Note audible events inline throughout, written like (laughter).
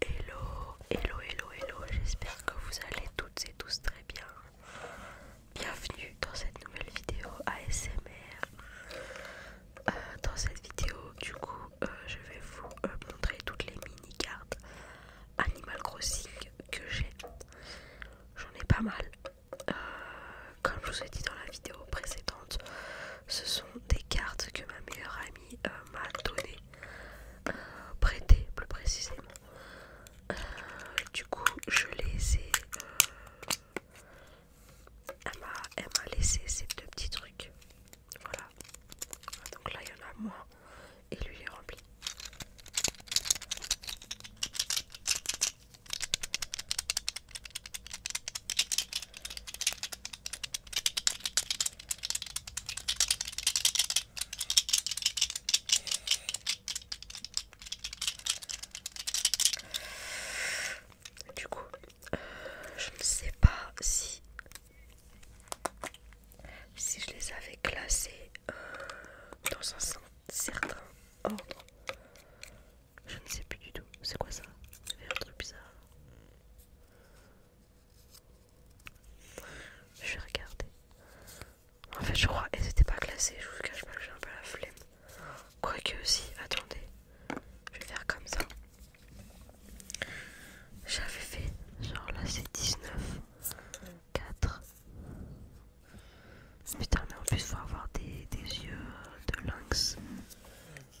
Hello, hello, hello, hello, j'espère que vous allez toutes et tous très bien. Bienvenue dans cette nouvelle vidéo ASMR. Euh, dans cette vidéo, du coup, euh, je vais vous euh, montrer toutes les mini cartes Animal Crossing que j'ai. J'en ai pas mal. comme je vous ai dit dans la vidéo précédente, ce sont des cartes que ma meilleure amie euh, m'a donné, euh, prêté plus précisément. Euh, du coup, je les ai. elle m'a laissé ces deux petits trucs. Voilà. Donc là, il y en a moi Et lui, il est rempli. Du coup, euh, je ne sais pas si si je les avais classés euh, dans un certain ordre. Je ne sais plus du tout. C'est quoi ça C'est bizarre. Je vais regarder. En fait, je crois, et c'était pas classé, je vous cache pas que j'ai un peu la flemme. Quoique aussi, attendez, je vais faire comme ça. J'avais fait, genre là c'est 19, 4. Putain, mais en plus, faut avoir des yeux de lynx.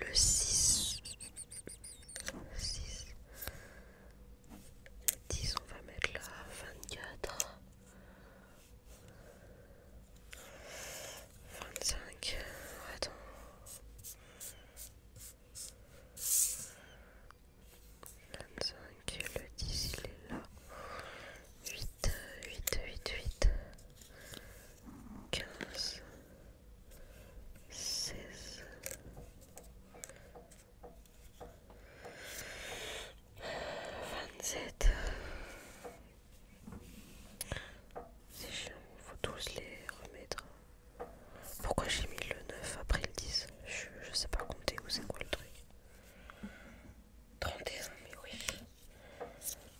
le 6 6 10 on va mettre là 24 25 attends 25, le 10 il est là. 8, 8, 8, 8. 15, 16, 27. C'est chiant, faut tous les remettre. Pourquoi j'ai mis le 9 après le 10 je, je sais pas compter où c'est quoi le truc. 31, mais oui.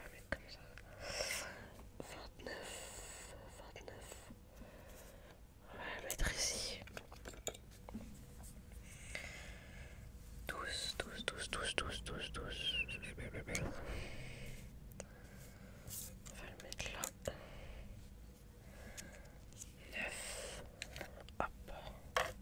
Enfin, comme ça. 29, 29. On va la mettre ici. 12, 9. Hop.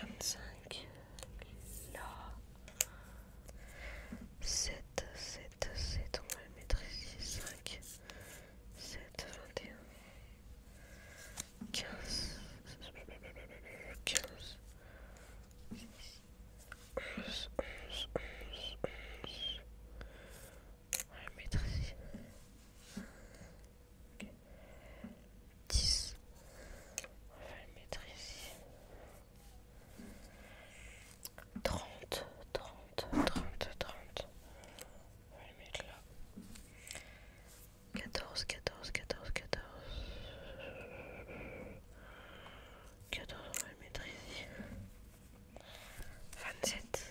25 là 7 7 7 on va le ici 5 7 21 15 15 11 on va mettre ici dix 10. trente va le mettre 30, 30, 30, 30. On va le mettre là. 14, 14, 14, 14. 14, on va le mettre ici. 27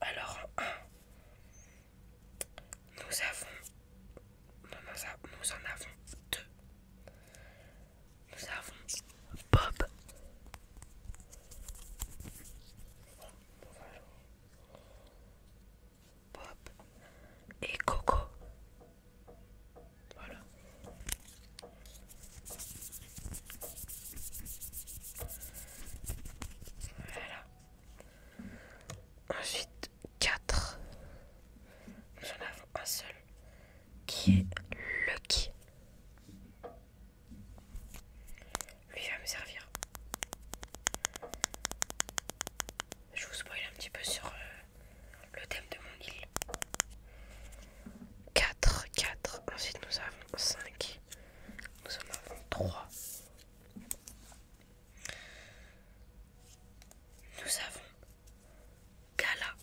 Alors nous avons... Nous, en avons deux. Nous avons Bob. Bob et Coco. Voilà. Ensuite, 4. Nous en avons un seul qui est Lucky. Lui va me servir. Je vous spoil un petit peu sur euh, le thème de mon île. 4, 4. Ensuite, nous avons 5. Nous en avons trois. Nous avons Gala.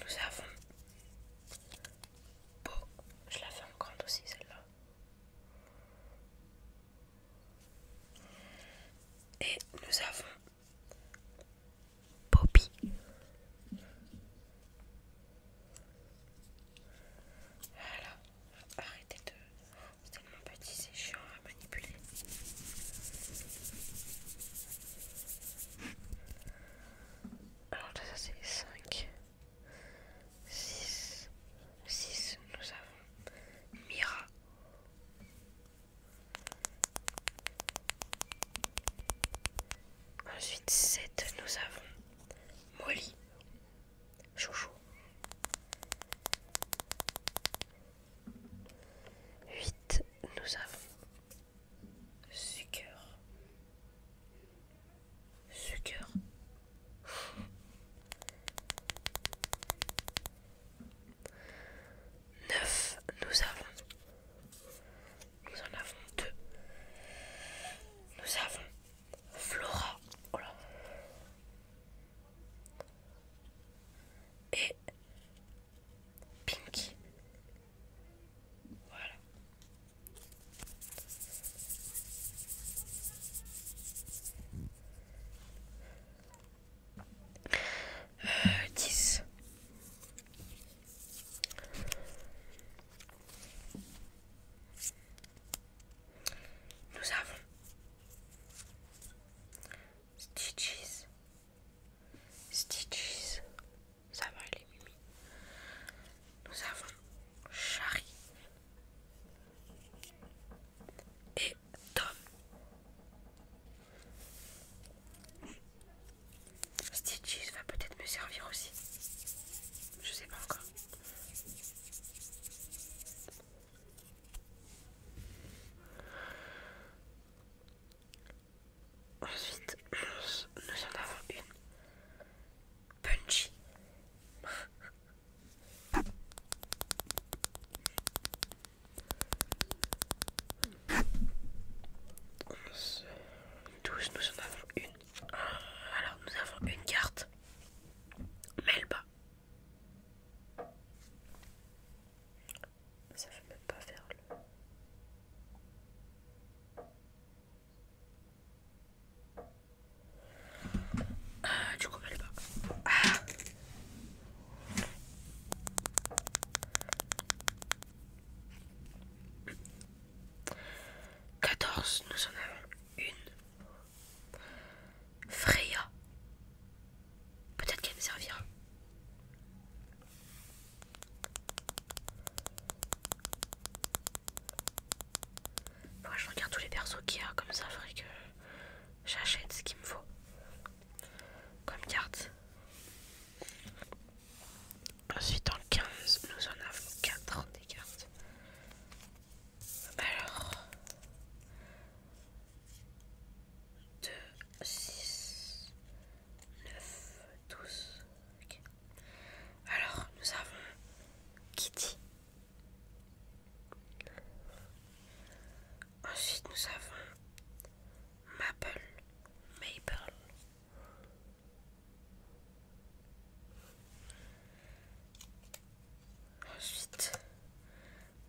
Nous avons Beau. Je la fais en grande aussi celle-là. Et nous avons Poppy. Voilà, arrêtez de. C'est tellement petit, c'est chiant à manipuler. Alors, ça c'est 5, 6, 6. Nous avons Mira, Ensuite, 7, nous avons Molly, Chouchou. 8, nous avons Sucre. Sucre. 9 nous avons nous en avons deux nous avons Flora oh et Pinky voilà 10. Euh, Nous avons Stitches. Stitches. Ça va, les mimi. Nous avons charlie et Tom. Stitches va peut-être me servir aussi. Je sais pas encore. Ensuite, nous, en avons une. Punchy. 11, 12, nous en avons une. Ah, alors, nous avons une carte. Melba. Ça veut même pas faire le. Ah, du coup, Melba. Ah 14, nous en avons une. Freya. Peut-être qu'elle me servira. Moi, je regarde tous les persos qu'il y a, comme ça, faudrait que j'achète ce qu'il me faut comme carte. Ensuite en 15, nous en avons 4 des cartes. Alors 2, 6, 9, 12. Alors nous avons Kitty. Ensuite, nous avons Maple. Maple. Ensuite,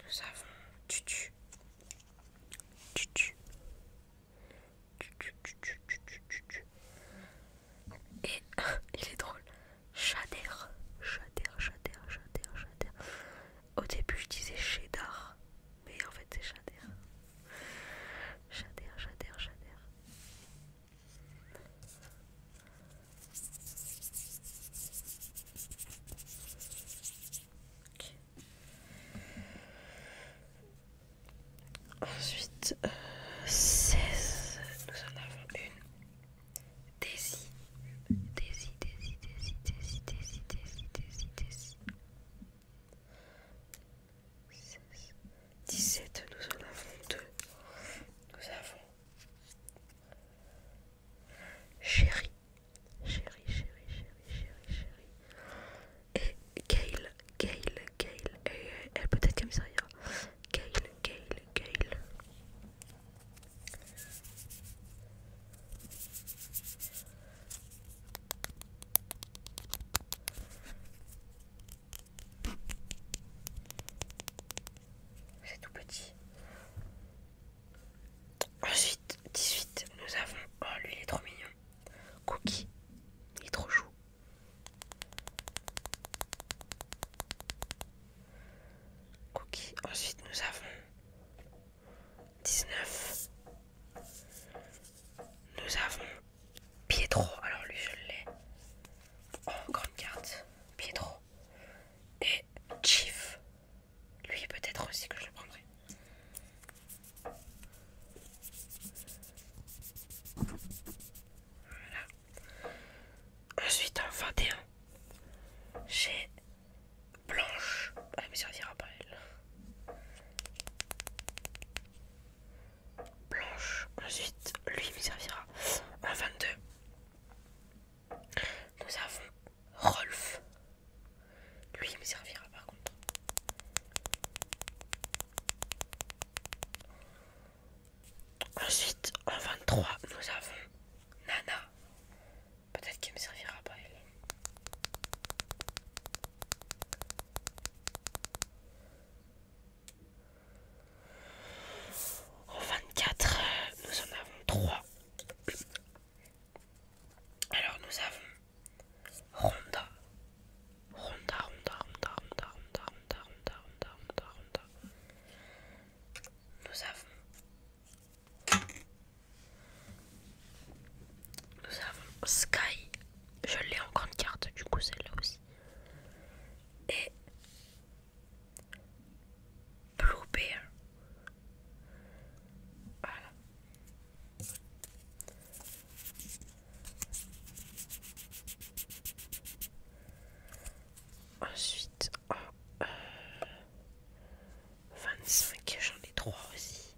nous avons Tutu. Tutu. Tutu, Et (laughs) il est drôle. Chader. Au début, je disais cheddar, mais en fait, c'est cheddar. Cheddar, cheddar, cheddar. Ensuite, 16, euh, nous en avons une. Daisy, Daisy, Daisy, Daisy, Daisy, Daisy, Daisy, Daisy, Daisy, 17, nous en avons deux. Nous avons chéri Chérie, Chérie, Chérie, Chérie, chéri Et Gail, Gail, Gail. Et elle peut être ça Gail, Gail, Gail. C'est tout petit. Ensuite, 18, nous avons. Oh, lui, il est trop mignon. Cookie, il est trop chou. Cookie, ensuite, nous avons. 19. Nous avons Pietro. Alors lui, je l'ai en grande carte. Pietro. Et Chief. Lui, peut-être aussi que je le prendrai. Voilà. Ensuite, en 21, j'ai blanche. Elle me servira pas, elle. Blanche. Ensuite, lui me servira en 22. Nous avons Rolf. Lui me servira par contre. Ensuite, en 23, nous avons Nana. Peut-être qu'il me servira pas elle. En 24, euh, nous en avons 3. Alors nous avons Ronda. Ronda, Ronda, Ronda, Ronda, Ronda, Ronda, Ronda, Ronda, Ronda, Ronda. Nous avons nous avons Sky. Je l'ai en grande carte, du coup celle-là aussi. Et Blue Bear. Ensuite, 25, euh, j'en ai 3 aussi.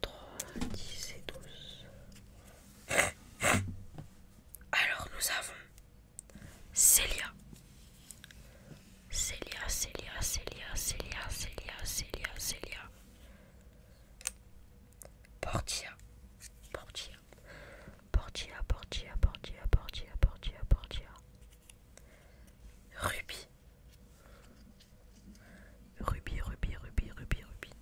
3, 10 et 12. Alors nous avons Célia. Célia, Célia, Célia, Célia, Célia, Célia, Célia. Portia. Portia. Portia, Portia, Portia, Portia, Ruby. Ruby, Ruby, Ruby, Ruby, Ruby.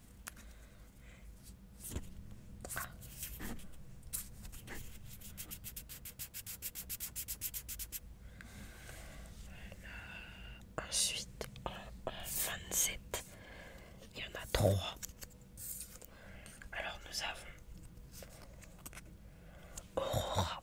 Ensuite, en, 27, il y en a 3. Alors nous avons Aurora,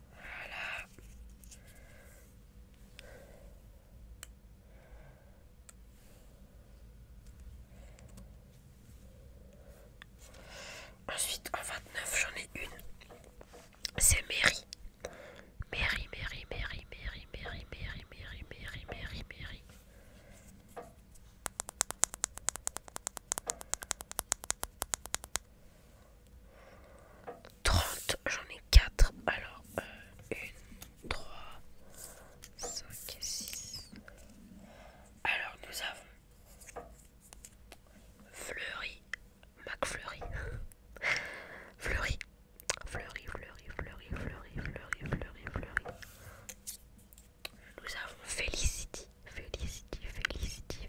Voilà. Ensuite, en 29, j'en ai une. C'est Mary. Mary, Mary, Mary, Mary, Mary, Mary, Mary, Mary, Mary, Mary. 30, j'en ai 4. Alors, 1, 3, 5 et 6. Alors, nous avons Fleury, McFleury. (laughs) Fleury, Fleury, Fleury, Fleury, Fleury, Fleury, Fleury, Fleury. Nous avons Felicity, Félicity, Felicity,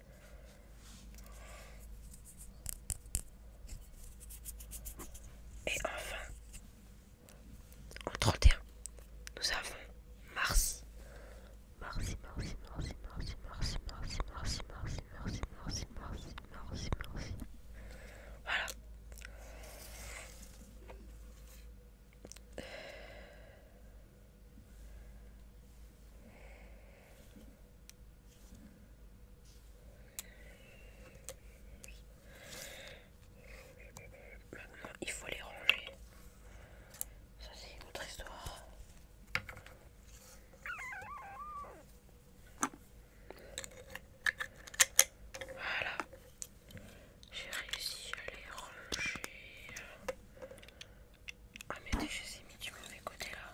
Et enfin, en 31, nous avons Mars. Mars. Mars. Mars. Mars. Mars. Mars. Mars. Mars. Mars. Mars. Mars. Mars. Mars. Voilà. Maintenant, il faut les ranger. Ça, c'est une autre histoire. Voilà, j'ai réussi à les ranger. Ah mais je sais mis du mauvais côté là.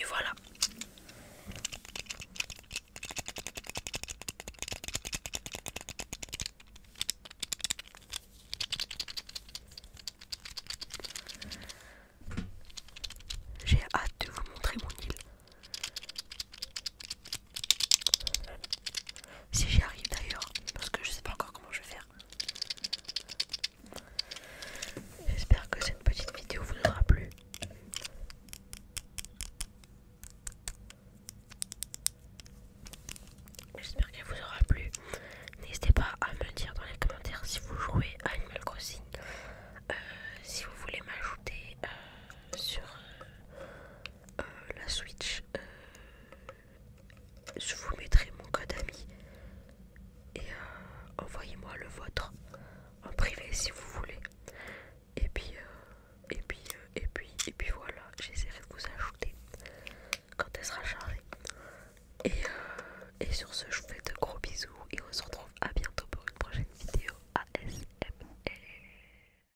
Et voilà. J'ai hâte de vous montrer mon île. Si j'y arrive d'ailleurs, parce que je sais pas encore comment je vais faire. J'espère que cette petite vidéo vous aura plu. J'espère qu'elle vous aura plu. N'hésitez pas à me dire dans les commentaires si vous jouez à Animal Crossing, euh, si vous voulez m'ajouter euh, sur, euh, la Switch, euh, je vous mettrai mon code ami et euh, envoyez-moi le vôtre en privé si vous voulez. Et puis, et puis, et puis, et puis voilà, j'essaierai de vous ajouter quand elle sera chargée. Et, et sur ce, je vous fais de gros bisous et on se retrouve à bientôt pour une prochaine vidéo ASMR.